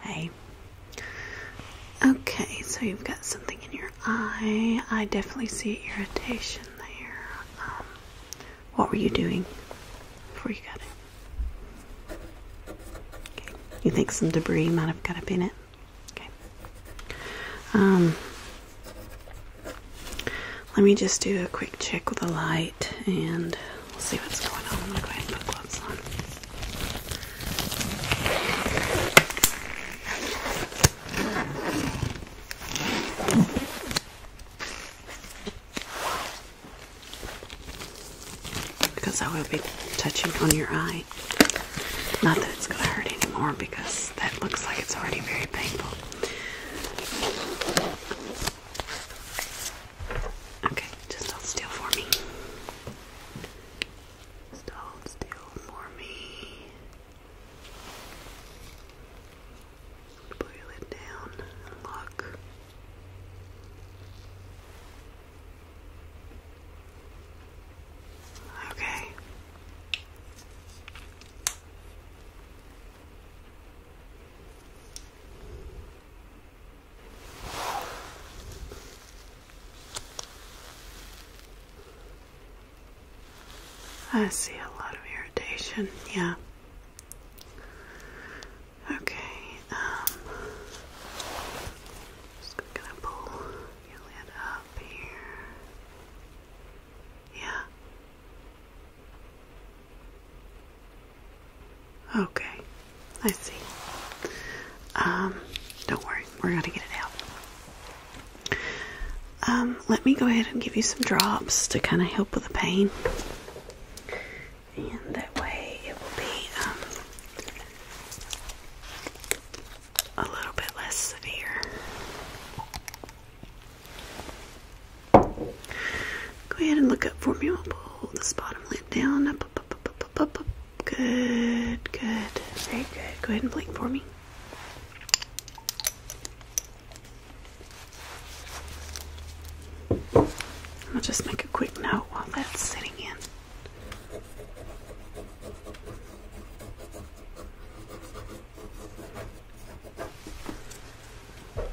Hey. Okay, so you've got something in your eye. I definitely see irritation there. Um, what were you doing before you got it? You think some debris might have got up in it? Okay. Um, let me just do a quick check with the light and We'll see what's going on. I'm gonna go ahead and put gloves on. Because I will be touching on your eye. Not that it's gonna hurt anymore because that looks like it's already very painful. Okay, just hold still for me. Just hold still for me. Put your down and Okay. I see a lot of irritation, yeah. Okay, um, just gonna pull your lid up here. Yeah. Okay, I see. Um, don't worry, we're gonna get it out. Um, let me go ahead and give you some drops to kind of help with the pain, and that way it will be um, a little bit less severe. Go ahead and look up for me. I'll pull this bottom lip down. Up, up, up, up, up, up, up. Good, good, very good. Go ahead and blink for me. I'll just make a quick note while that's sitting in. Okay.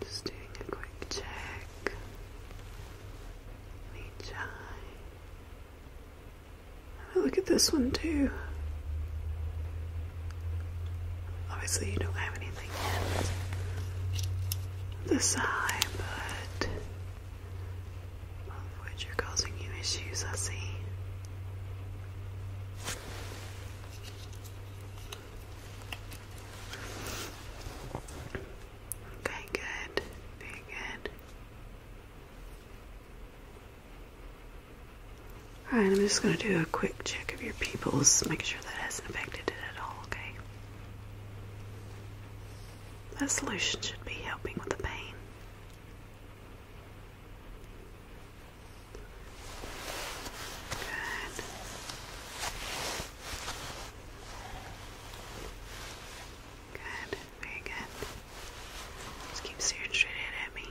Just doing a quick check on each eye. And look at this one too. Obviously, you don't have anything in this eye, but which are causing you issues, I see. Okay, good. Very good. Alright, I'm just going to do a quick check of your pupils, make sure that hasn't affected it at all, okay? That solution should be helping with the pain. Good. Good. Very good. Just keep staring straight ahead at me.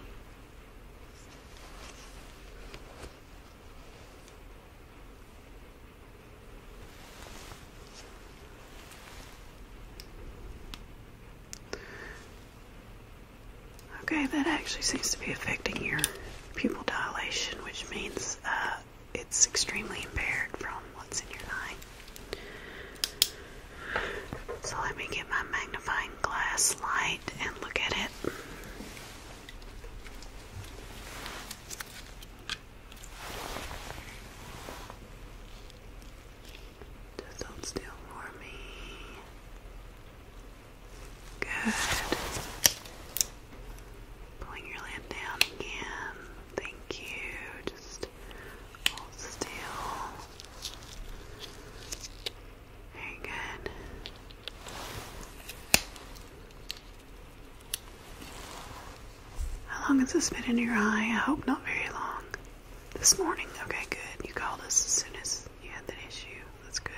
Okay, that actually seems to be affecting your pupil dilation, which means uh, it's extremely impaired from what's in your eye. So let me get my magnifying glass light and look at it. Just hold still for me. Good. Pulling your lamp down again. Thank you. Just hold still. Very good. How long has this been in your eye? I hope not very long. This morning. Okay, good. You called us as soon as you had that issue. That's good.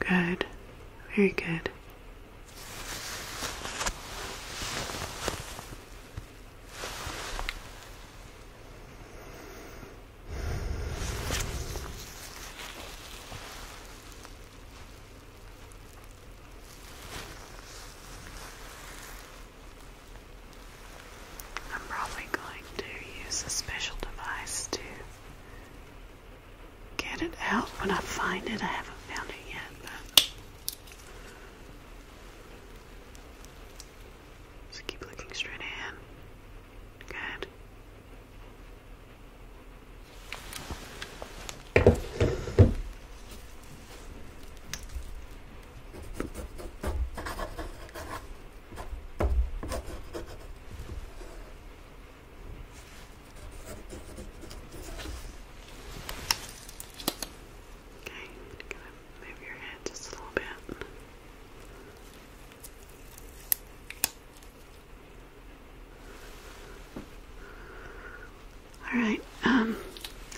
Good. Very good. I'm probably going to use a special device to get it out when I find it. I haven't found it yet, but just keep looking straight ahead. Good. Okay, I'm move your head just a little bit. Alright, um,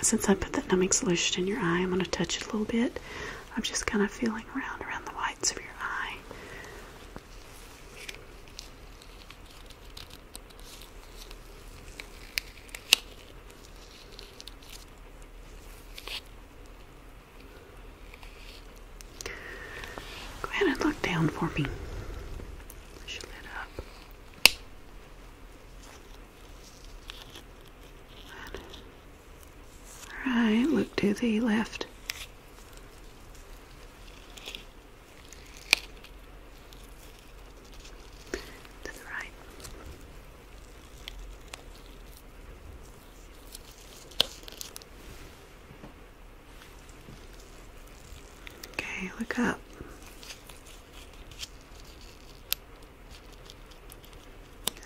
since I put that numbing solution in your eye, I'm gonna touch it a little bit. I'm just kind of feeling around around the whites of your eye. Go ahead and look down for me. Push your up. All right, look to the left to the right. Okay, look up.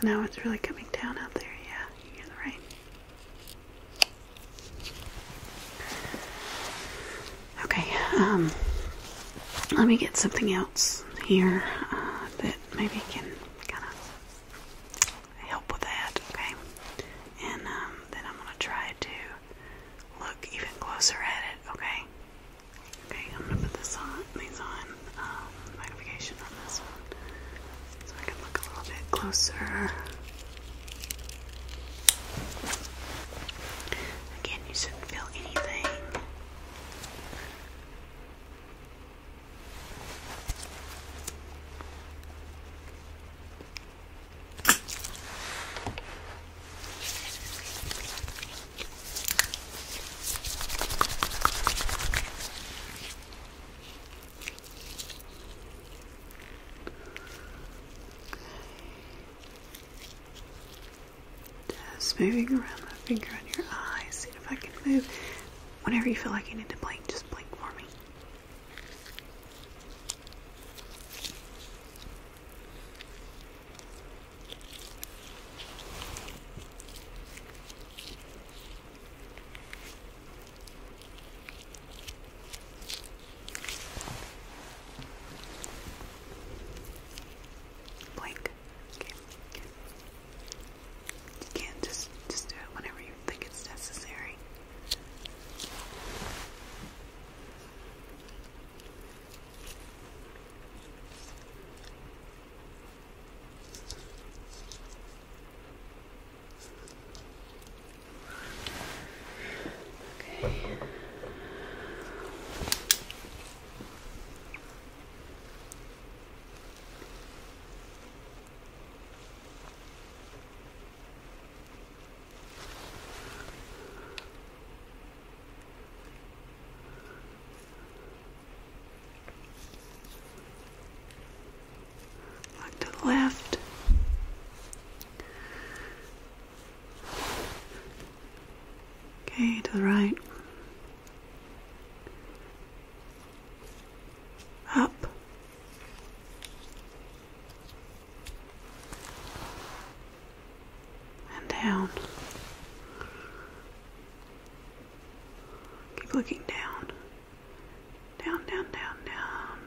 Now it's really coming down out there, yeah, you hear the rain. Okay, um, let me get something else here uh, that maybe can kind of help with that, okay? And um, then I'm going to try to look even closer at it, okay? Okay, I'm going to put this on, these on, um, magnification on this one so I can look a little bit closer. Again, you shouldn't feel anything. Okay. Just moving around my finger on your eyes, see if I can move. Whenever you feel like you need to blink, just blink for me. Blink. You can just just do it whenever you think it's necessary. Okay. Look to the left. Okay, to the right. Up. And down. Keep looking down. Down, down, down, down.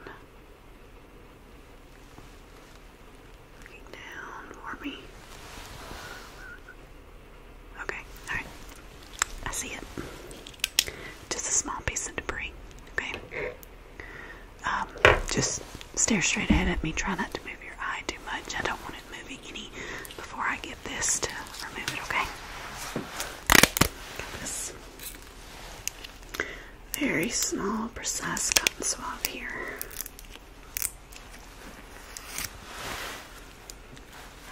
Looking down for me. Okay, alright. I see it. Just a small piece of debris. Okay. Um, just stare straight ahead at me. Try not to move your eye too much. I don't want it moving any before I get this to remove it, okay? this very small, precise cotton swab here.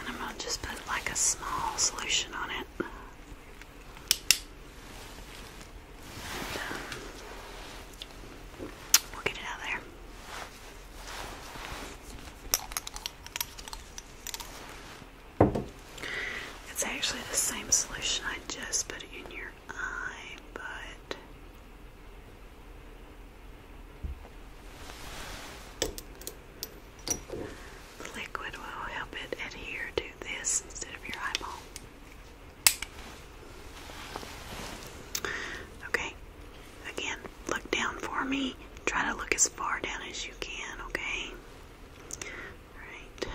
And I'm going to just put like a small solution on it. Um, we'll get it out there. It's actually the same solution I just put in your eye, but the liquid will help it adhere to this instead of your eyeball. Okay, again, look down for me. Try to look as far down as you can, okay? Right.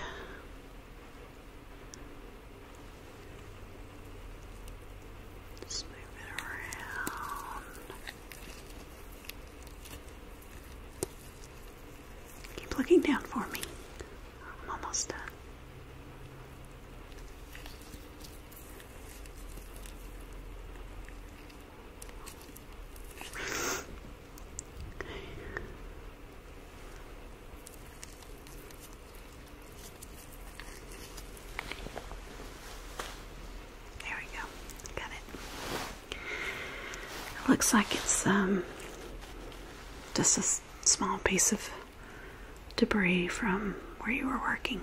Just move it around. Keep looking down for me. I'm almost done. There we go. Got it. looks like it's um, just a small piece of debris from where you were working.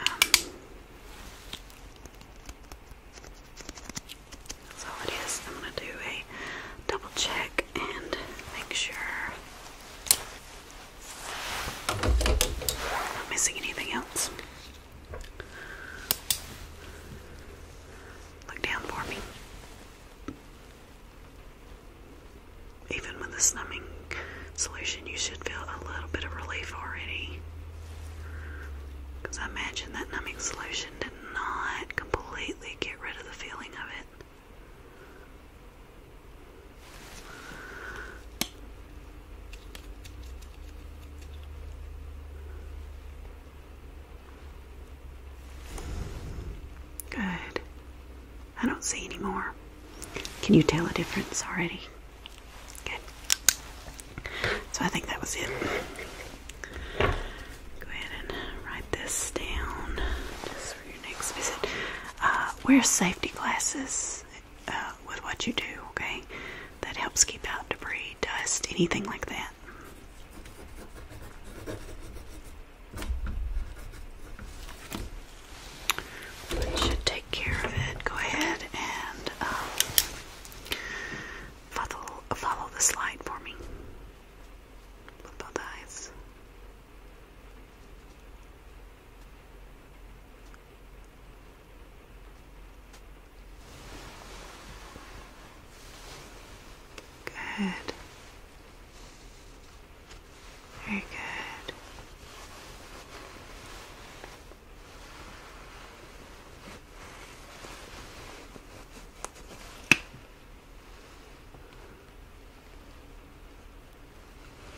Um, that's all it is. I'm going to do a double check and make sure I'm not missing anything else. Look down for me. Even with the numbing solution, you should feel a little bit of relief already. Because I imagine that numbing solution didn't not completely get rid of the feeling of it. Good. I don't see any more. Can you tell a difference already? Good. So I think that was it. Go ahead and write this down just for your next visit. Uh, wear safety glasses uh, with what you do, okay? That helps keep out debris, dust, anything like that. should take care of it. Go ahead and um, Follow, follow the slide for me both eyes. Good. Very good.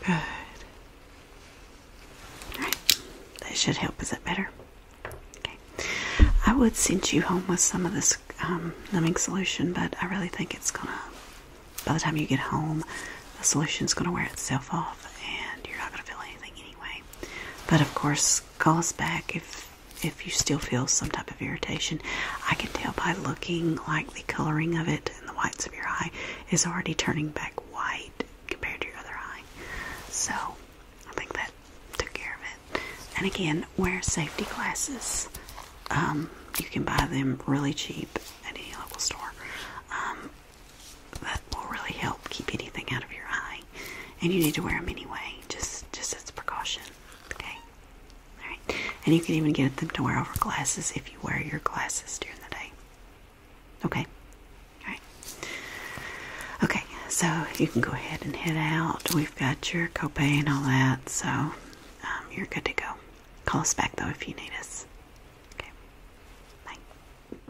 Good. All right. That should help. Is that better? Okay. I would send you home with some of this um, numbing solution, but I really think it's gonna. By the time you get home, the solution's gonna wear itself off, and you're not gonna feel anything anyway. But of course, calls back if if you still feel some type of irritation. I can tell by looking like the coloring of it and the whites of your eye is already turning back white compared to your other eye. So I think that took care of it. And again, wear safety glasses. Um, you can buy them really cheap at any local store. Um, that will really help keep anything out of your eye. And you need to wear them anyway, just just as a precaution. Okay. All right. And you can even get them to wear over glasses if you wear your glasses during the day. Okay. All right. Okay. So you can go ahead and head out. We've got your copay and all that, so um, you're good to go. Call us back though if you need us. Okay. Bye.